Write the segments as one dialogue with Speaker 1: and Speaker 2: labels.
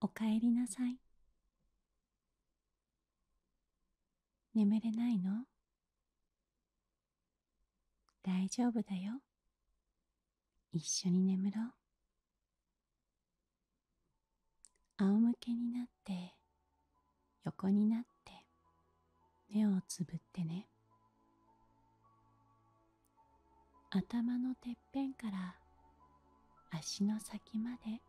Speaker 1: おかえりなさい。眠れないの大丈夫だよ。一緒に眠ろう。仰向けになって、横になって、目をつぶってね。頭のてっぺんから足の先まで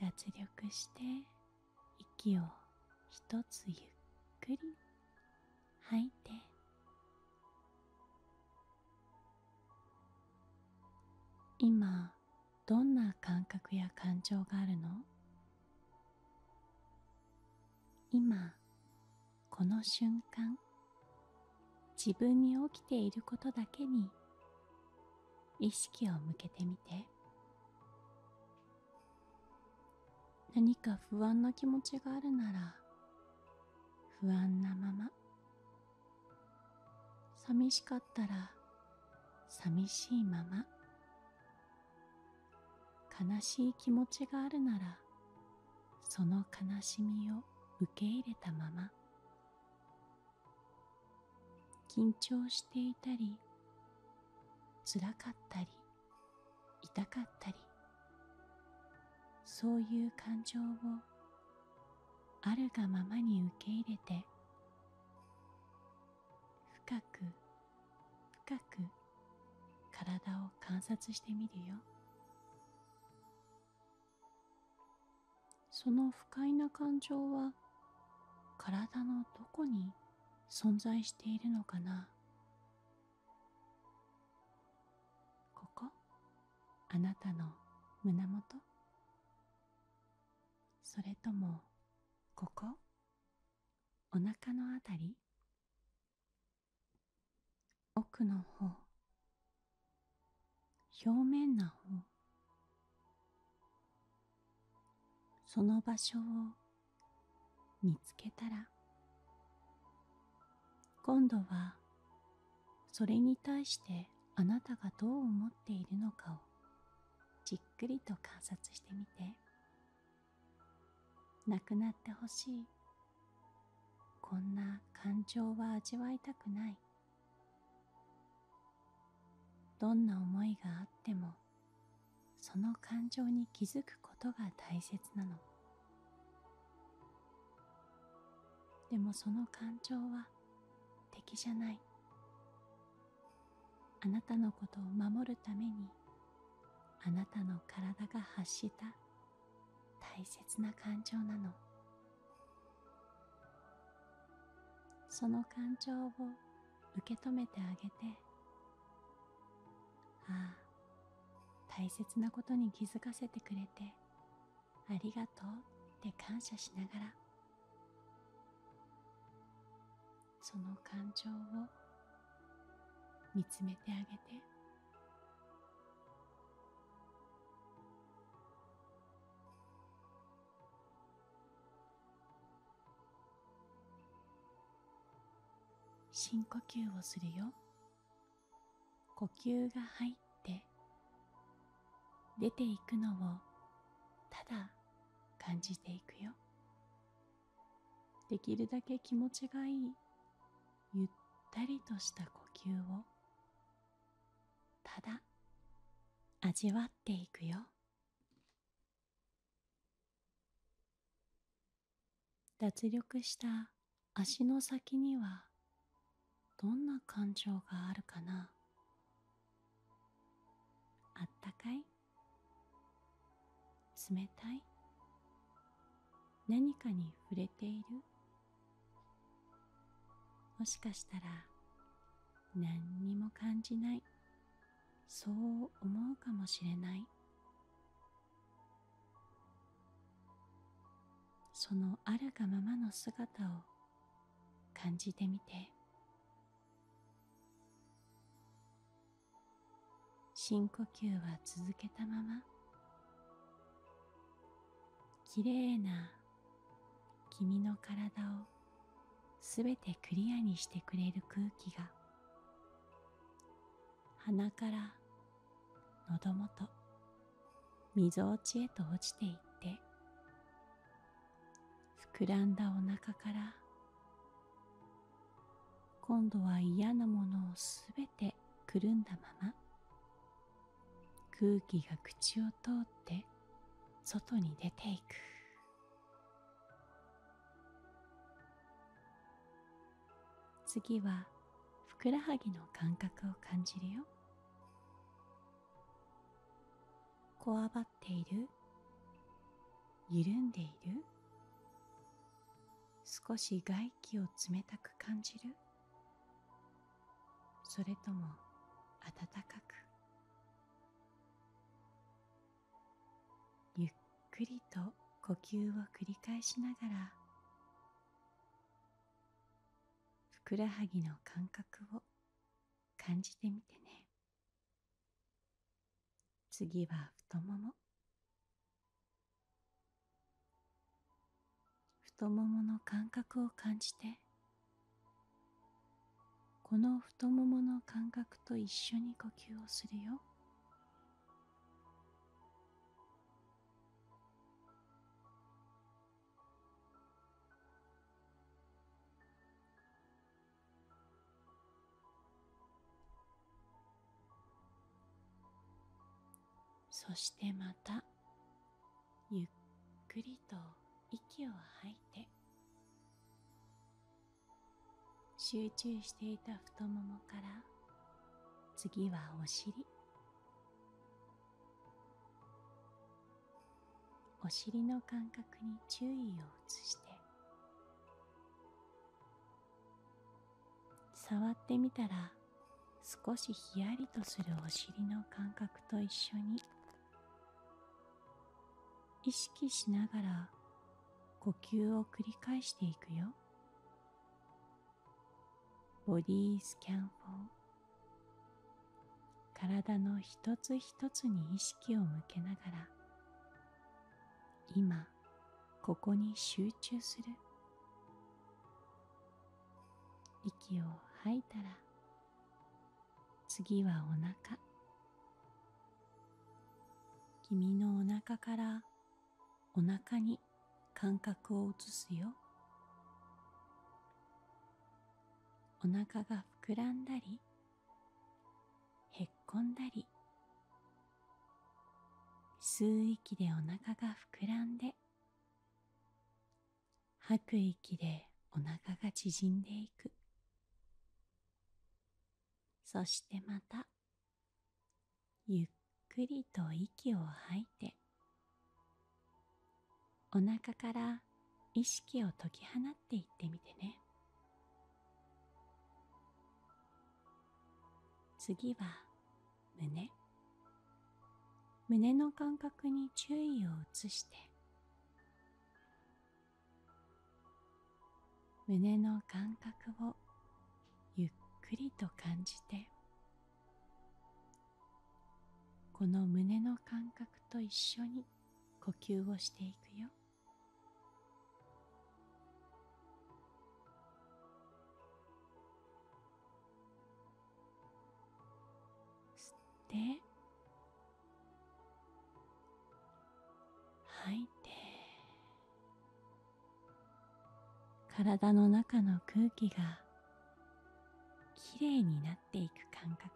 Speaker 1: 脱力して息をひとつゆっくり吐いて今どんな感覚や感情があるの今この瞬間自分に起きていることだけに意識を向けてみて何か不安な気持ちがあるなら不安なまま寂しかったら寂しいまま悲しい気持ちがあるならその悲しみを受け入れたまま緊張していたりつらかったり痛かったりそういう感情をあるがままに受け入れて深く深く体を観察してみるよその不快な感情は体のどこに存在しているのかなここあなたの胸元それともここお腹の辺り奥の方表面な方その場所を見つけたら今度はそれに対してあなたがどう思っているのかをじっくりと観察してみてなくなってほしいこんな感情は味わいたくないどんな思いがあってもその感情に気づくことが大切なのでもその感情は敵じゃないあなたのことを守るためにあなたの体が発した大切な感情なのその感情を受け止めてあげてああ大切なことに気づかせてくれてありがとうって感謝しながらその感情を見つめてあげて深呼吸をするよ呼吸が入って出ていくのをただ感じていくよできるだけ気持ちがいいゆったりとした呼吸をただ味わっていくよ脱力した足の先にはどんな感情があるかなあったかい冷たい何かに触れているもしかしたら何にも感じないそう思うかもしれないそのあるがままの姿を感じてみて深呼吸は続けたままきれいな君の体をすべてクリアにしてくれる空気が鼻から喉元みぞおちへと落ちていって膨らんだお腹から今度は嫌なものをすべて。べくるんだまま空気が口を通って外に出ていく次はふくらはぎの感覚を感じるよこわばっている緩んでいる少し外気を冷たく感じるそれとも暖かくゆっくりと呼吸を繰り返しながらふくらはぎの感覚を感じてみてね次は太もも太ももの感覚を感じてこの太ももの感覚と一緒に呼吸をするよそしてまたゆっくりと息を吐いて集中していた太ももから次はお尻お尻の感覚に注意を移して触ってみたら少しひやりとするお尻の感覚と一緒に意識しながら呼吸を繰り返していくよボディスキャンフォー体の一つ一つに意識を向けながら今ここに集中する息を吐いたら次はお腹君のお腹からお腹に感覚を移すよお腹が膨らんだりへっこんだり吸う息でお腹が膨らんで吐く息でお腹が縮んでいく。そしてまた、ゆっくりと息を吐いて、お腹から意識を解き放っていってみてね。次は胸胸の感覚に注意を移して胸の感覚をゆっくりと感じてこの胸の感覚と一緒に呼吸をしていくよ吸って吐いて体の中の空気がきれいになっていく感覚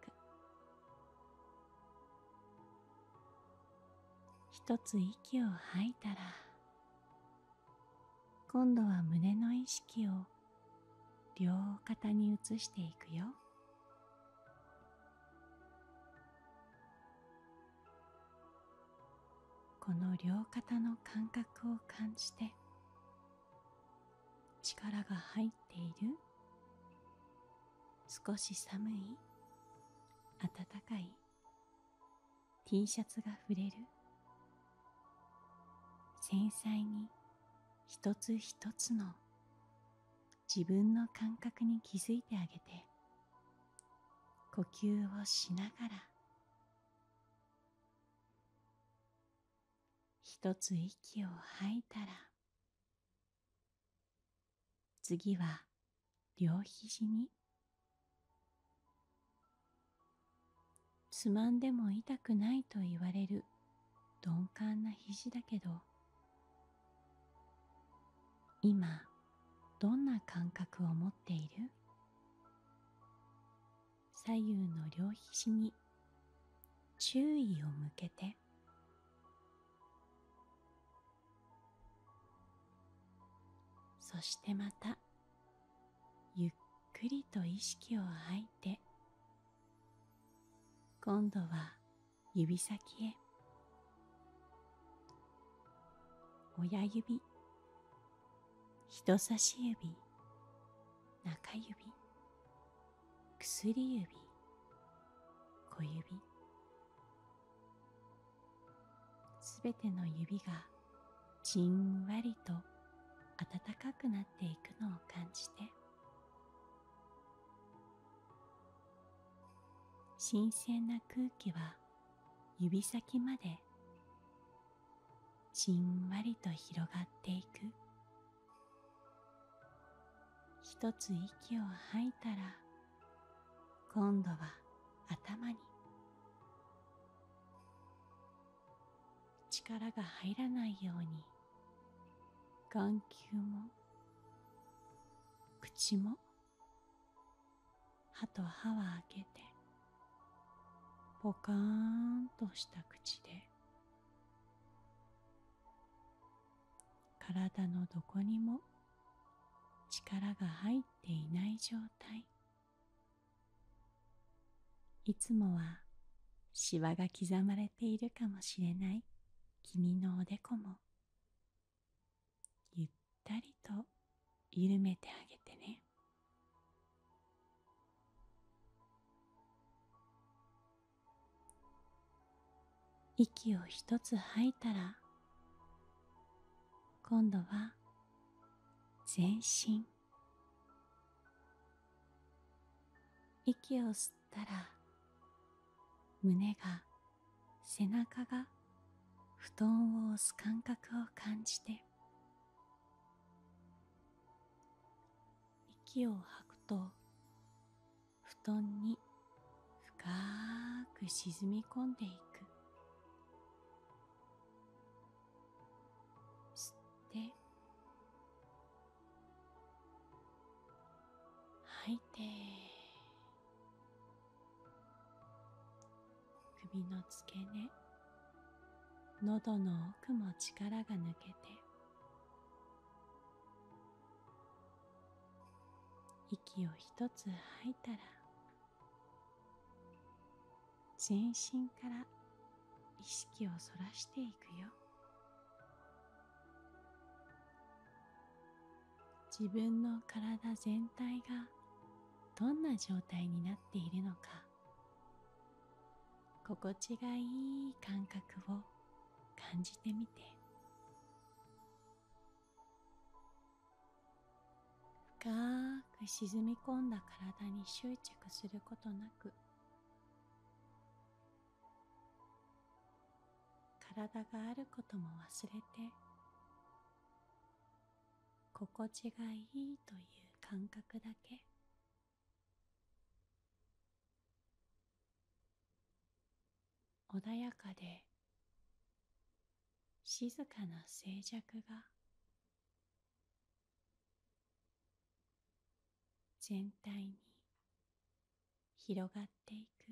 Speaker 1: 一つ息を吐いたら今度は胸の意識を両肩に移していくよこの両肩の感覚を感じて力が入っている少し寒い暖かい T シャツが触れる繊細に一つ一つの自分の感覚に気づいてあげて呼吸をしながら一つ息を吐いたら次は両肘につまんでも痛くないと言われる鈍感な肘だけど今どんな感覚を持っている左右の両肘に注意を向けてそしてまたゆっくりと意識を吐いて今度は指先へ親指人差し指中指薬指小指すべての指がじんわりと暖かくなっていくのを感じて新鮮な空気は指先までじんわりと広がっていく一つ息を吐いたら今度は頭に力が入らないように眼球も口も歯と歯は開けてポカーンとした口で体のどこにも力が入っていない状態いつもはしわが刻まれているかもしれない君のおでこもゆったりと緩めてあげてね息を一つ吐いたら今度は全身息を吸ったら胸が背中が布団を押す感覚を感じて息を吐くと布団に深く沈み込んでいく吸って吐いて首の付け根喉の奥も力が抜けて息を1つ吐いたら全身から意識をそらしていくよ自分の体全体がどんな状態になっているのか心地がいい感覚を感じてみて深く沈み込んだ体に執着することなく体があることも忘れて心地がいいという感覚だけ穏やかで静かな静寂が全体に広がっていく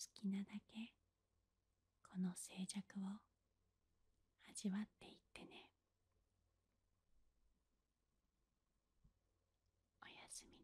Speaker 1: 好きなだけこの静寂を味わっていってねおやすみなさい